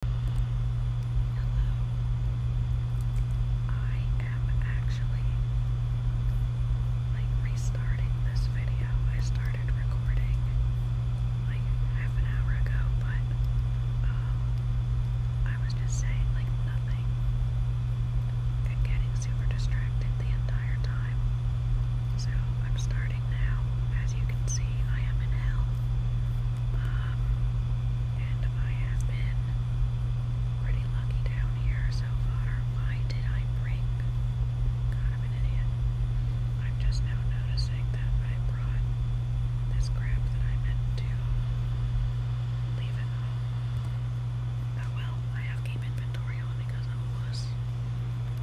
Hello. I am actually restarting this video. I started recording like half an hour ago, but I was just saying like nothing and getting super distracted the entire time. So I'm starting now. As you can see, I am in hell. Um, and I have been pretty lucky down here so far. Why did I bring? I'm an idiot. I'm just now noticing that I brought this crap that I meant to leave at home. Oh, well, I have keep inventory on because I'm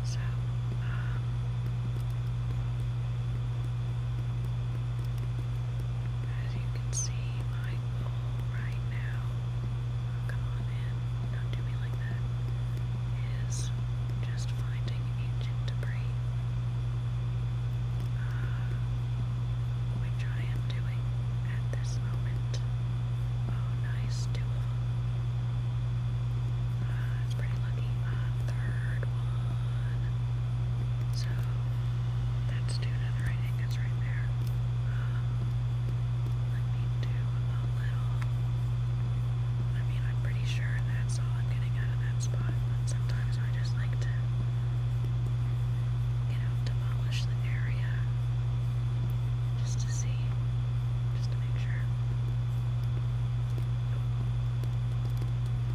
So, um, as you can see, my goal right now, come on in, don't do me like that, is just finding ancient debris, uh, which I am doing at this moment. Oh, nice, two of uh, it's pretty lucky. Uh, third one. So that's two. student writing that's right there. let me do a little. I mean, I'm pretty sure that's all I'm getting out of that spot, but sometimes I just like to, you know, demolish the area just to see, just to make sure.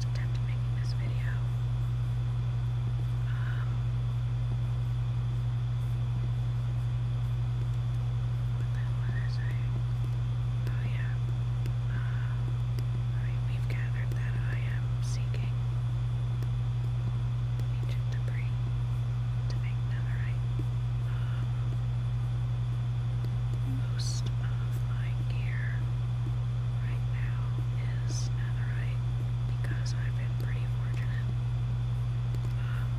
attempt making this video. Um, what the I saying? Oh yeah. Uh, I mean, we've gathered that I am seeking ancient debris to make netherite. Um, most uh, flying gear right now is netherite because I've been pretty fortunate. Um,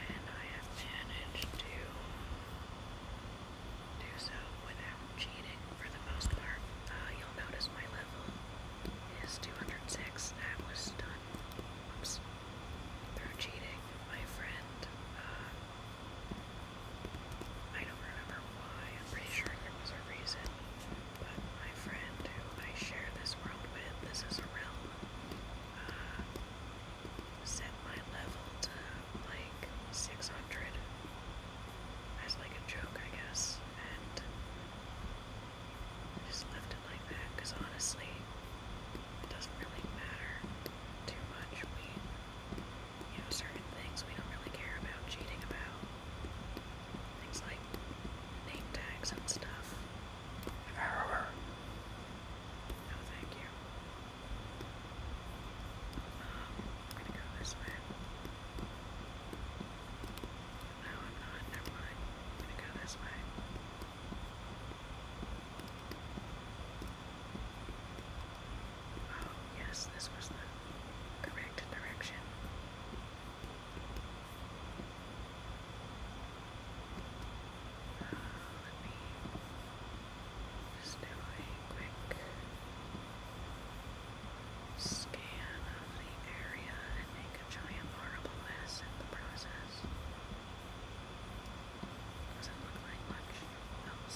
and I have managed to do so without cheating for the most part. Uh, you'll notice my level is 206. That was done through cheating. My friend uh, I don't remember why, I'm pretty sure there was a reason, but my friend who I share this world with, this is real, uh, set my level to like 600 as like a joke, I guess, and just left it like that because honestly, it doesn't really matter too much you know, certain things we don't really care about cheating about. Things like name tags and stuff. No, oh, thank you. Um, I'm gonna go this way. No, I'm not. Never mind. I'm gonna go this way. Oh, yes, this was the correct direction. Uh, let me just do a quick scan of the area and make a giant horrible mess in the process doesn't continue forward. Oh, I will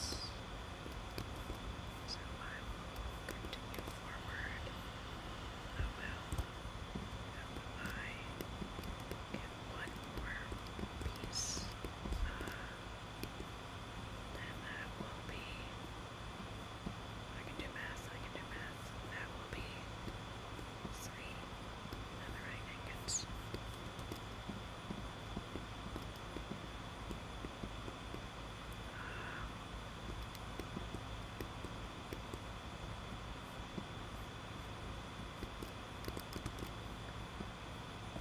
uh, that will be. I can do math, I can do math. That will be three. And the right angles.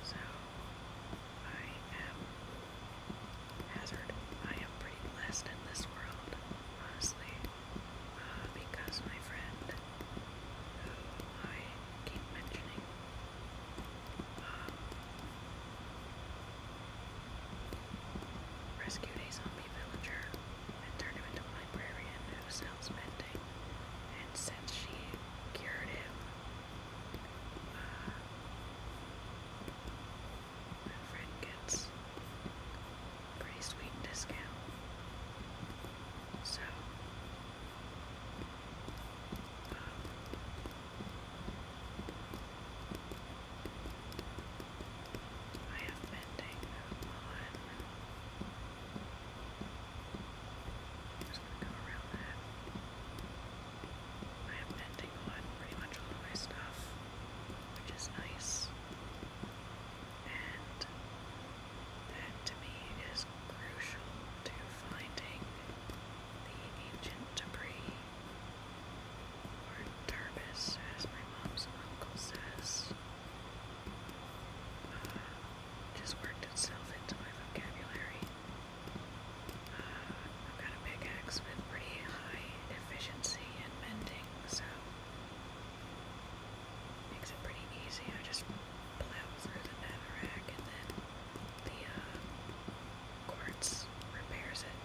So I am hazard. I am pretty blessed in this world, honestly, uh, because my friend, who I keep mentioning Rescued a zombie villager and turned him into a librarian who sells mending. And since she cured him, uh, gets pretty sweet discount. So, I have bending on. just gonna go around that. I have bending on pretty much all of my stuff, which is nice. And that to me is crucial to finding the ancient debris or turbis, as my mom's uncle says. Uh, just worked itself into my vocabulary. Uh, I've got a big axe with pretty high efficiency in mending, so makes it pretty easy. I just blue through the netherrack, and then the uh, quartz repairs it,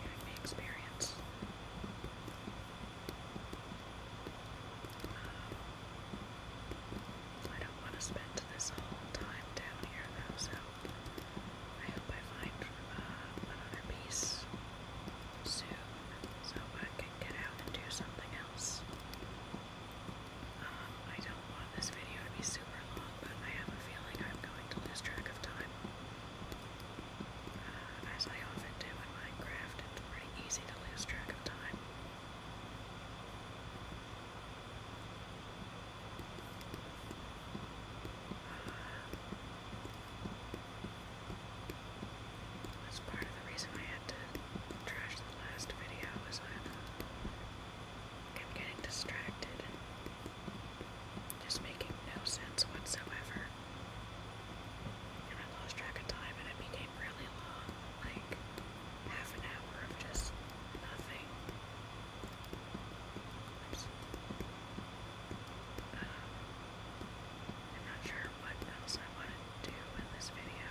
giving me experience. Um, I don't want to spend this whole time down here though, so I hope I find uh, another piece soon so I can get out and do something else. I don't want this video to be super long, but I have a feeling I'm going to lose track of time. Uh, as I often do in Minecraft, it's pretty easy to lose track of time. Uh, that's part of the reason I had to the last video I am getting distracted and just making no sense whatsoever. I lost track of time and it became really long, like half an hour of just nothing. Oops. Um, I'm not sure what else I want to do in this video.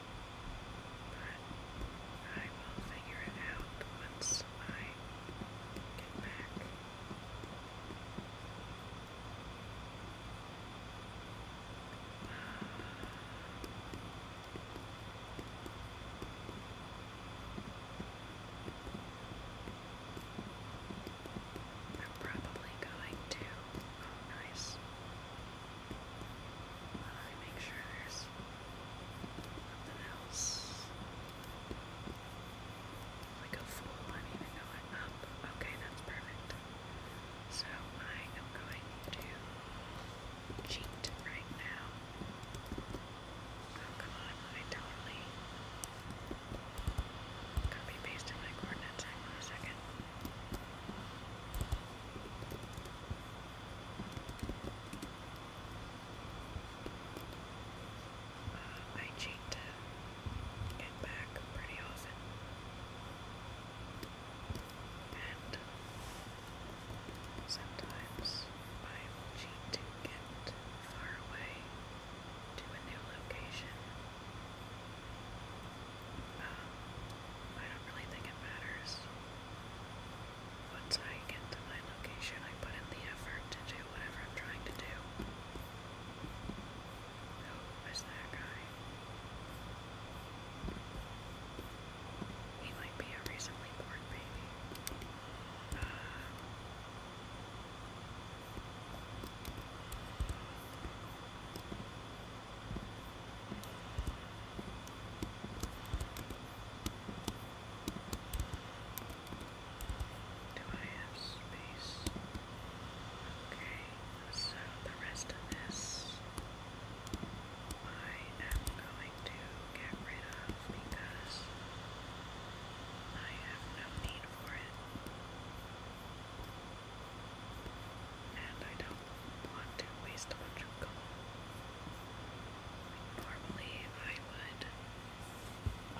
But I will figure it out once I get back. I'm probably going to. Oh, I make sure there's nothing else. Like a fool, I did even know up. Okay, that's perfect. So I am going to cheat right now. Oh, come on, I totally copy pasted my coordinates. Hang on a second. I cheat to get back pretty often. And sometimes I cheat to get far away to a new location. I don't really think it matters. Once I get to my location, I put in the effort to do whatever I'm trying to do. Who is that guy? He might be a recently born baby. Do I have space? Okay, so the rest of this I am going to get rid of because I have no need for it. And I don't want to waste a bunch of color. normally I would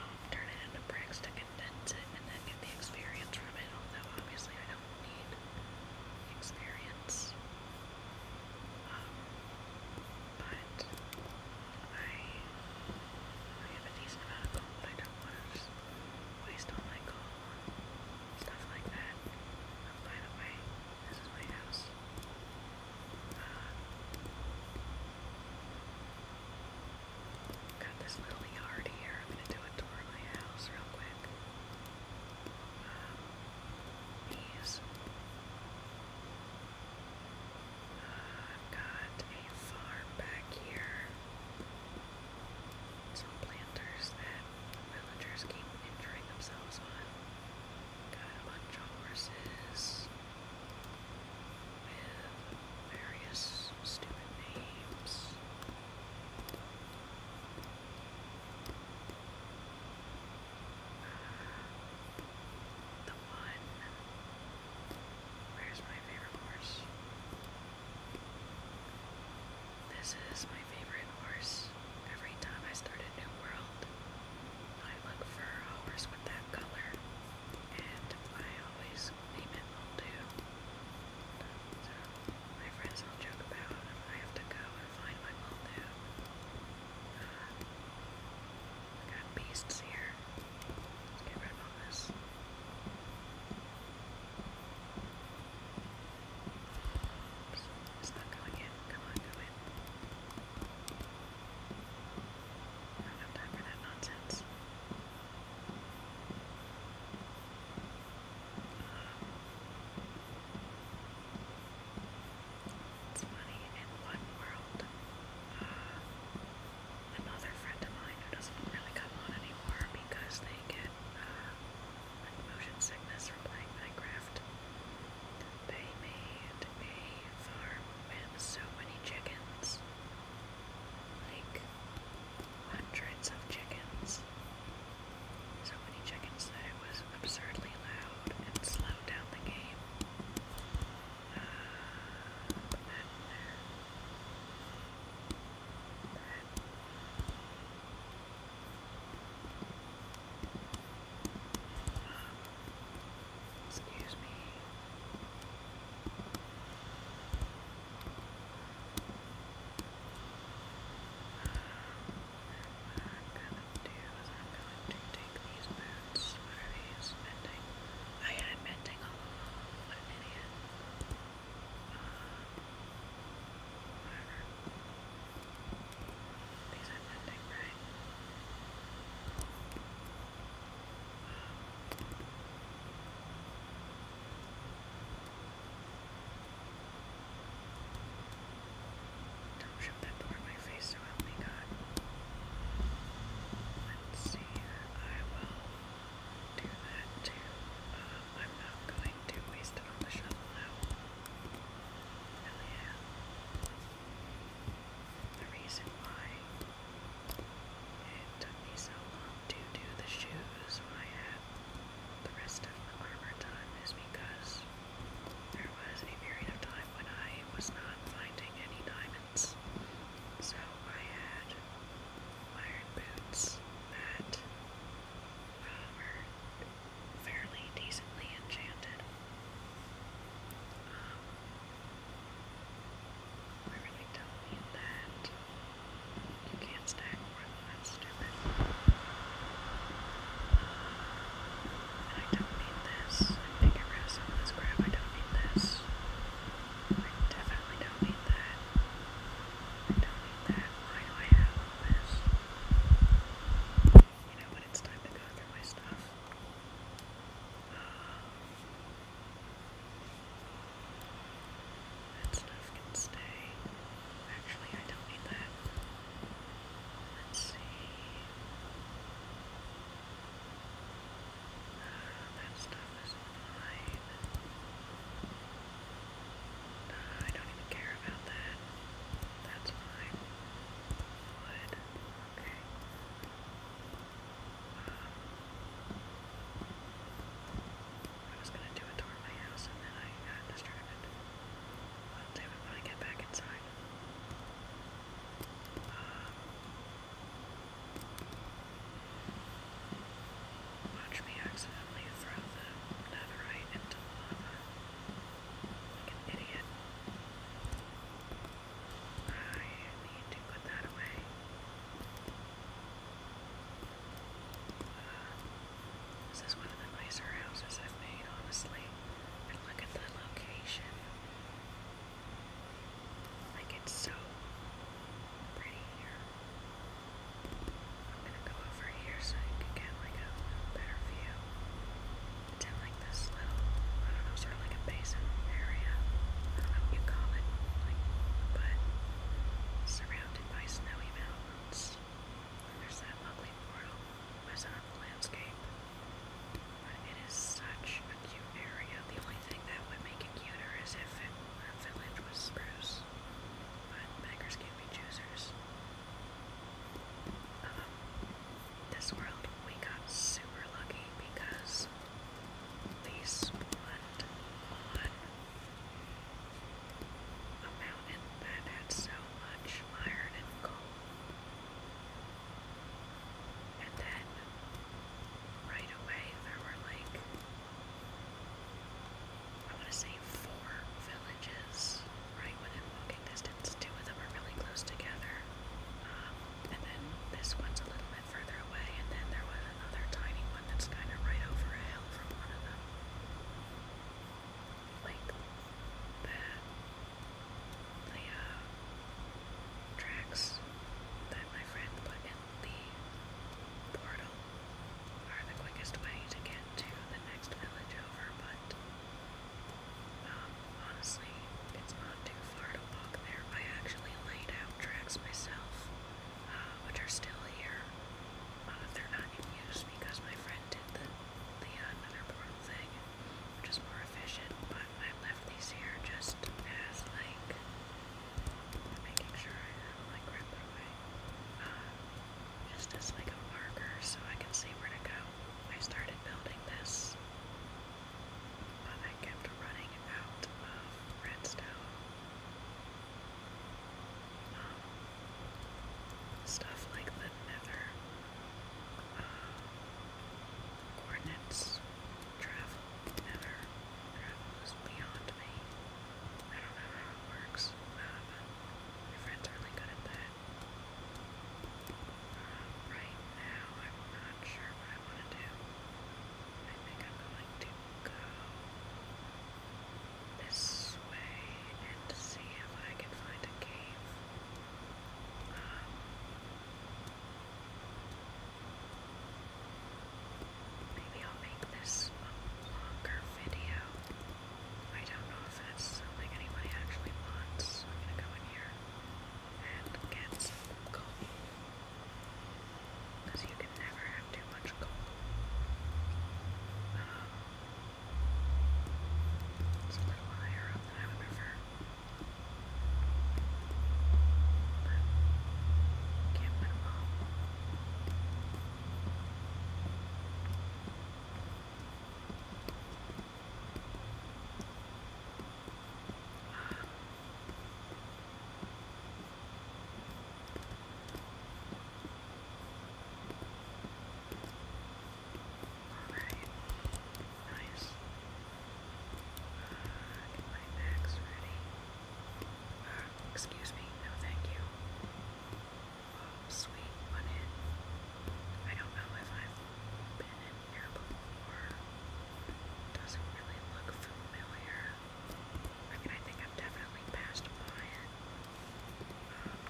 um, turn it into bricks to condense it and then get the experience from it, although obviously I don't need experience. Um, but I, have a decent amount but I don't want to just waste all my gold stuff like that. by the way, this is my house. Uh, got this little yard here. I'm gonna do a tour of my house real quick. Um, uh, I've got a farm back here. Some planters that the villagers keep injuring themselves on got a bunch of horses with various stupid names. Uh, the one. Where's my favorite horse? This is my favorite horse. Every time I start a new world, I look for a with that color, and I always name it So, my friends will joke about I have to go and find my uh, I got beasts here. get rid of it's not going in. Come on, go in. I do nonsense. Uh, it's funny, in one world, uh, another friend of mine who doesn't really come on anymore because they get uh, with motion sickness from playing Minecraft. They made a farm with so many chickens. Like, hundreds of chickens. So many chickens that it was absurdly loud and slowed down the game. Uh, Excuse me. What i gonna do I'm going to take these boots. I had mending all along. What these are Don't shove that toward my face so help me God. Let's see, I will do that too. Uh, I'm not going to waste it on the shovel now. Hell yeah. The reason why it took me so long to do the shoes I had the rest of the armor done is because there was a period of time when I was not finding any diamonds. So I had iron boots that However, fairly decently enchanted. Um, everything tells me that you can't stack more than that stupid. Um, and I don't need this. I can get some of this crap. I don't need this. I definitely don't need that knowing that why do I have this? You know, when it's time to go through my stuff. that stuff can stay. Actually, I don't need that. Let's see. Uh, that stuff is online. Uh, I don't even care about that. That's fine. Wood. Okay. Um, I was gonna do a tour of my house and then I got distracted. damn it, when I get back inside. Um, Watch me accidentally throw the netherite into the lava. idiot. I need to put that away. Uh, this is one of the nicer houses I've made, honestly. And look at the location. Like, it's so pretty here. I'm gonna go over here so you can get like a better view. It's in like this little, I don't know, sort of like a basin area. you call it, like, but surrounded by snowy mountains. there's that lovely portal was landscape. But it is such a cute area. The only thing that would make it cuter is if it, a village was spruce but beggars can't be choosers. Um, this world, we got super lucky because they spawned on a mountain that had so much iron and gold, And then, right away, there were like I want to say four villages right within walking distance. Two of them are really close together, um, and then this one's a little bit further away, and then there was another tiny one that's kind of right over a hill from one of them. Like that. The uh, tracks that my friend put in the portal are the quickest way to get to the next village over, but um, honestly, it's not too far to walk there. I actually laid out tracks myself, uh, which are still here. Uh, they're not in use because my friend did the, the uh, thing, which is more efficient, but I left these here just as like making sure I have like wrap away just as like a marker so I can see where to go. I started building this, but I kept running out of redstone. Um, stuff like the nether uh, coordinates travel, nether travels beyond me. I don't know how it works, uh, uh, right now, I'm not sure what I want to do. I think I'm going to go this way and see if I can find a cave. Um, maybe I'll make this a longer video. I don't know if that's something anybody actually wants, I'm gonna go in here and get some coal. Because you can never have too much coal. Um, it's a little higher up than I would prefer. But can't win them all. Alright, nice. Uh, my bags ready. Uh, excuse me, no thank you sweet one in. I don't know if I've been in here before. Doesn't really look familiar. I mean, I think I've definitely passed by it. Um,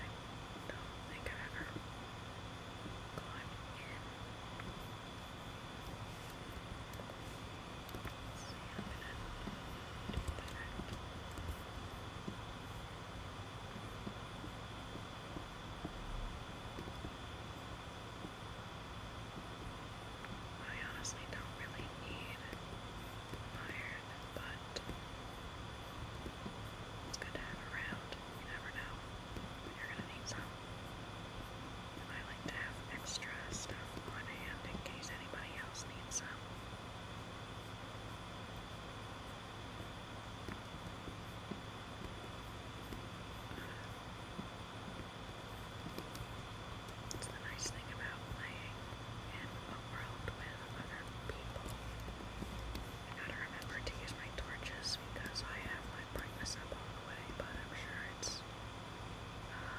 I don't think I've ever gone in. I honestly don't really need iron, but it's good to have around. You never know you're gonna need some. I like to have extra stuff on hand in case anybody else needs some. It's the nice thing about playing in a world with other people. I gotta remember to use my torches because I have my brightness up all the way, but I'm sure it's uh,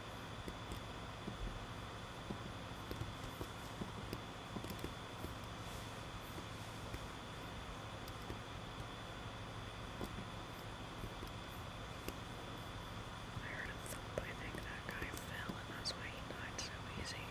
I heard a thump, I think that guy fell and that's why he died so easy.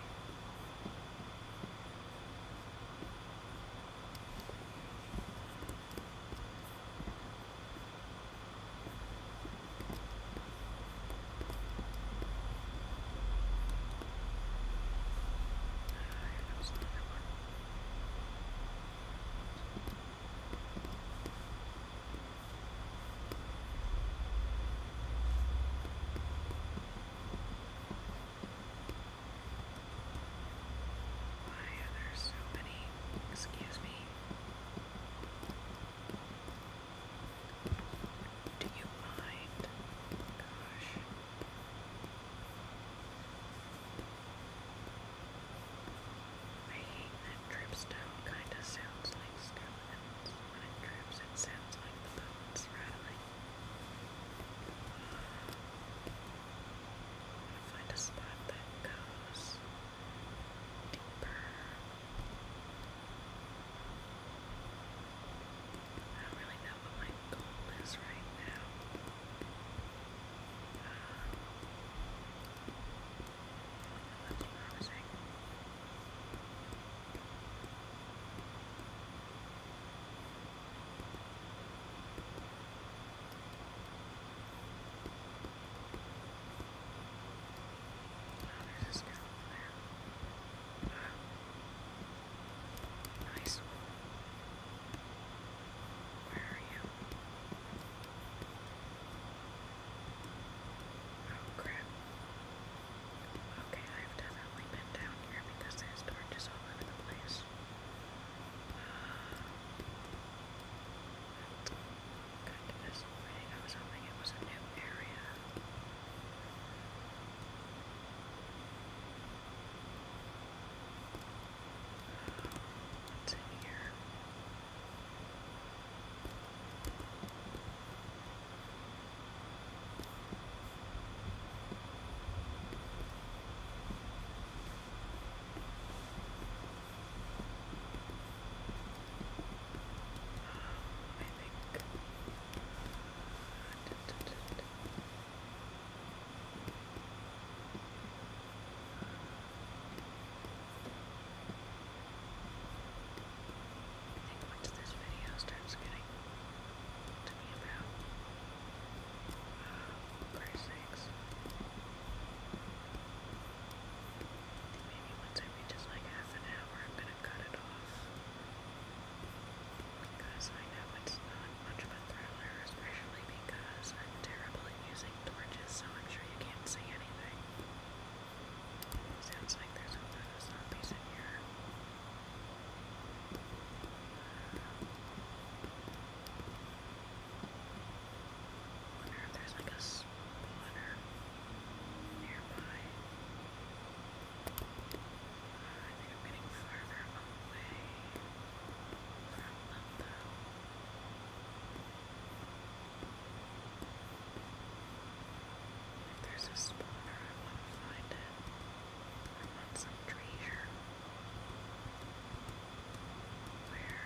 Why so many? Excuse me. Do you mind? Gosh. I hate that drip stone kind of sounds like skeletons. When it drips, it sounds like the bones rattling. I'm find a spot that goes deeper. I don't really know what my goal is right now there's a sniffle Oh crap. Okay, I've definitely been down here because there's torches all over the place. Good, I was hoping it was a new area. here? I think. this video starts getting about uh, Christ Maybe once it reaches like half an hour, I'm gonna cut it off. Because I know it's not much of a thriller, especially because I'm terrible using torches, so I'm sure you can't see anything. Sounds like there's a lot of zombies in here. Uh, wonder if there's like a spawner nearby. I think I'm getting farther away from them, there's a spawner, I want to find it. I want some treasure. Where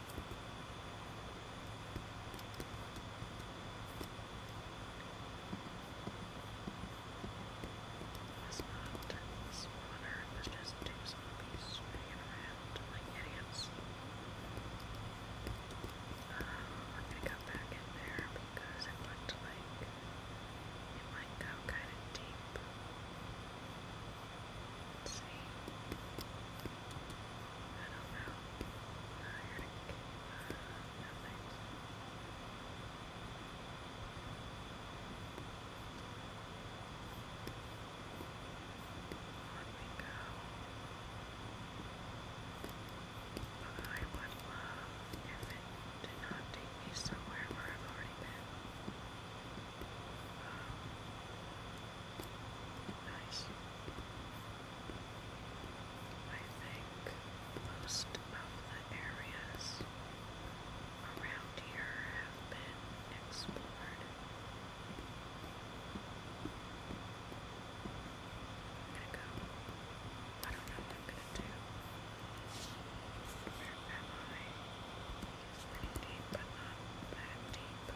Last month, this water was just two zombies swinging like idiots. Um, uh, we're gonna go back in there because it looked like it kind of deep. Let's see. I don't know. Let me go. I would love if it did not take me somewhere where I've already been. Um, I think most of the areas around here have been explored. i don't know what I'm gonna do. Where am deep, not that deep.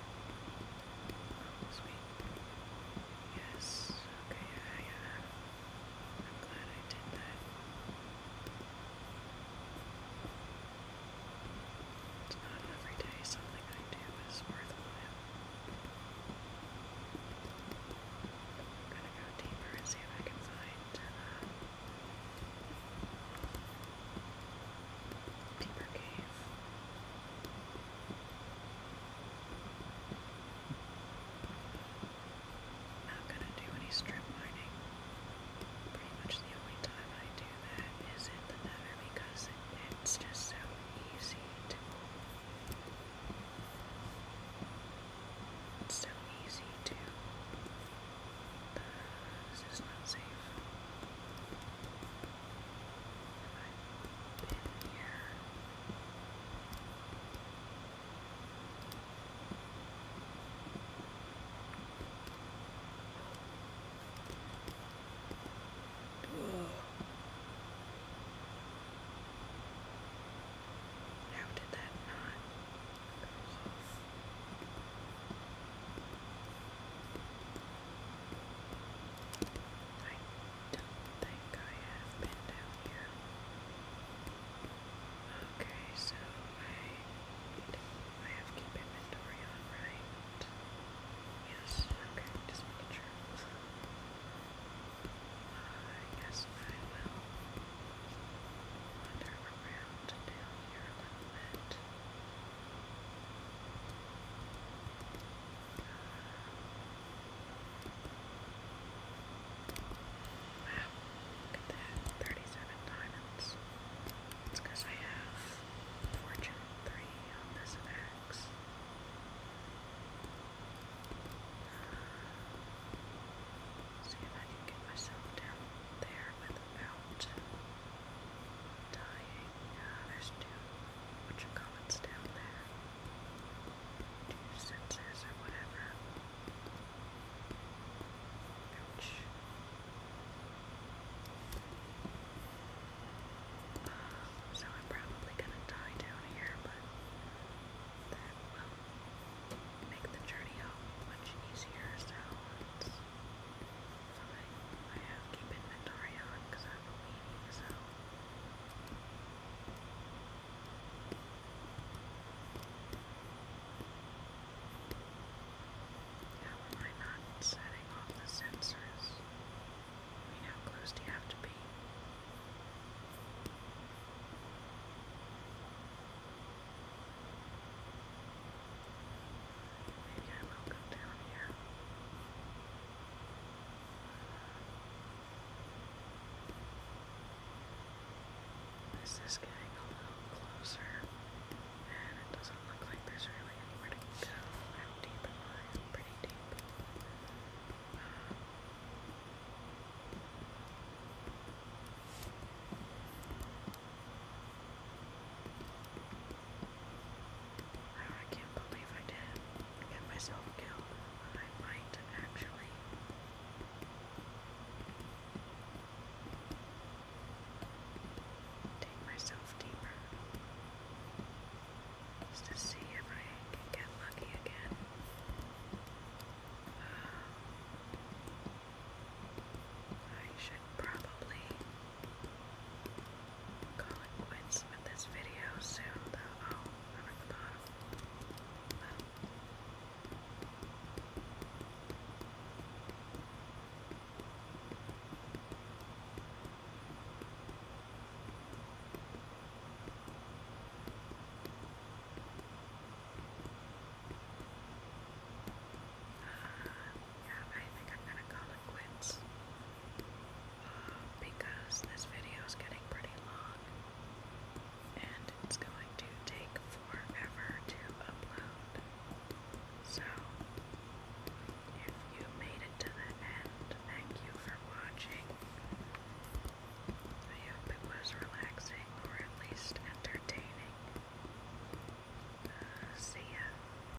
This week. Yes. Okay, yeah, yeah. I'm glad I did that. It's not every day something I do is worthwhile. I'm gonna go deeper and see if I can find uh, Paper cave. Not gonna do any strip mining. Pretty much the only time I do that is in the nether because it's just so easy it's so easy to this is not safe. How did that not go off? I don't think I have been down here. Okay, so I I have keep inventory on, right? Yes, okay, just making sure. I guess I will wander around down here a little bit. Wow, look at 37 diamonds. It's because I have Fortune 3 on this axe. See if I can get myself down there without dying. Uh, there's two, what you down there. Two sensors or whatever. Ouch. so I'm probably gonna die down here, but that will make the journey home much easier. So something I have keep inventory on because I'm a so. How am I not setting off the sensors? how close do you have to be? This is getting a little closer, and it doesn't look like there's really anywhere to go. I? am pretty deep. I can't believe I did get myself killed. I might actually. Take myself deeper just to see if I can get lucky again. I should probably Calling quits with this video soon, though. I'm at the bottom yeah, I think I'm gonna call it quits. because this video is getting pretty long and it's going to take forever to upload. So, if you made it to the end, thank you for watching. I hope it was relaxing or at least entertaining. Uh, see ya.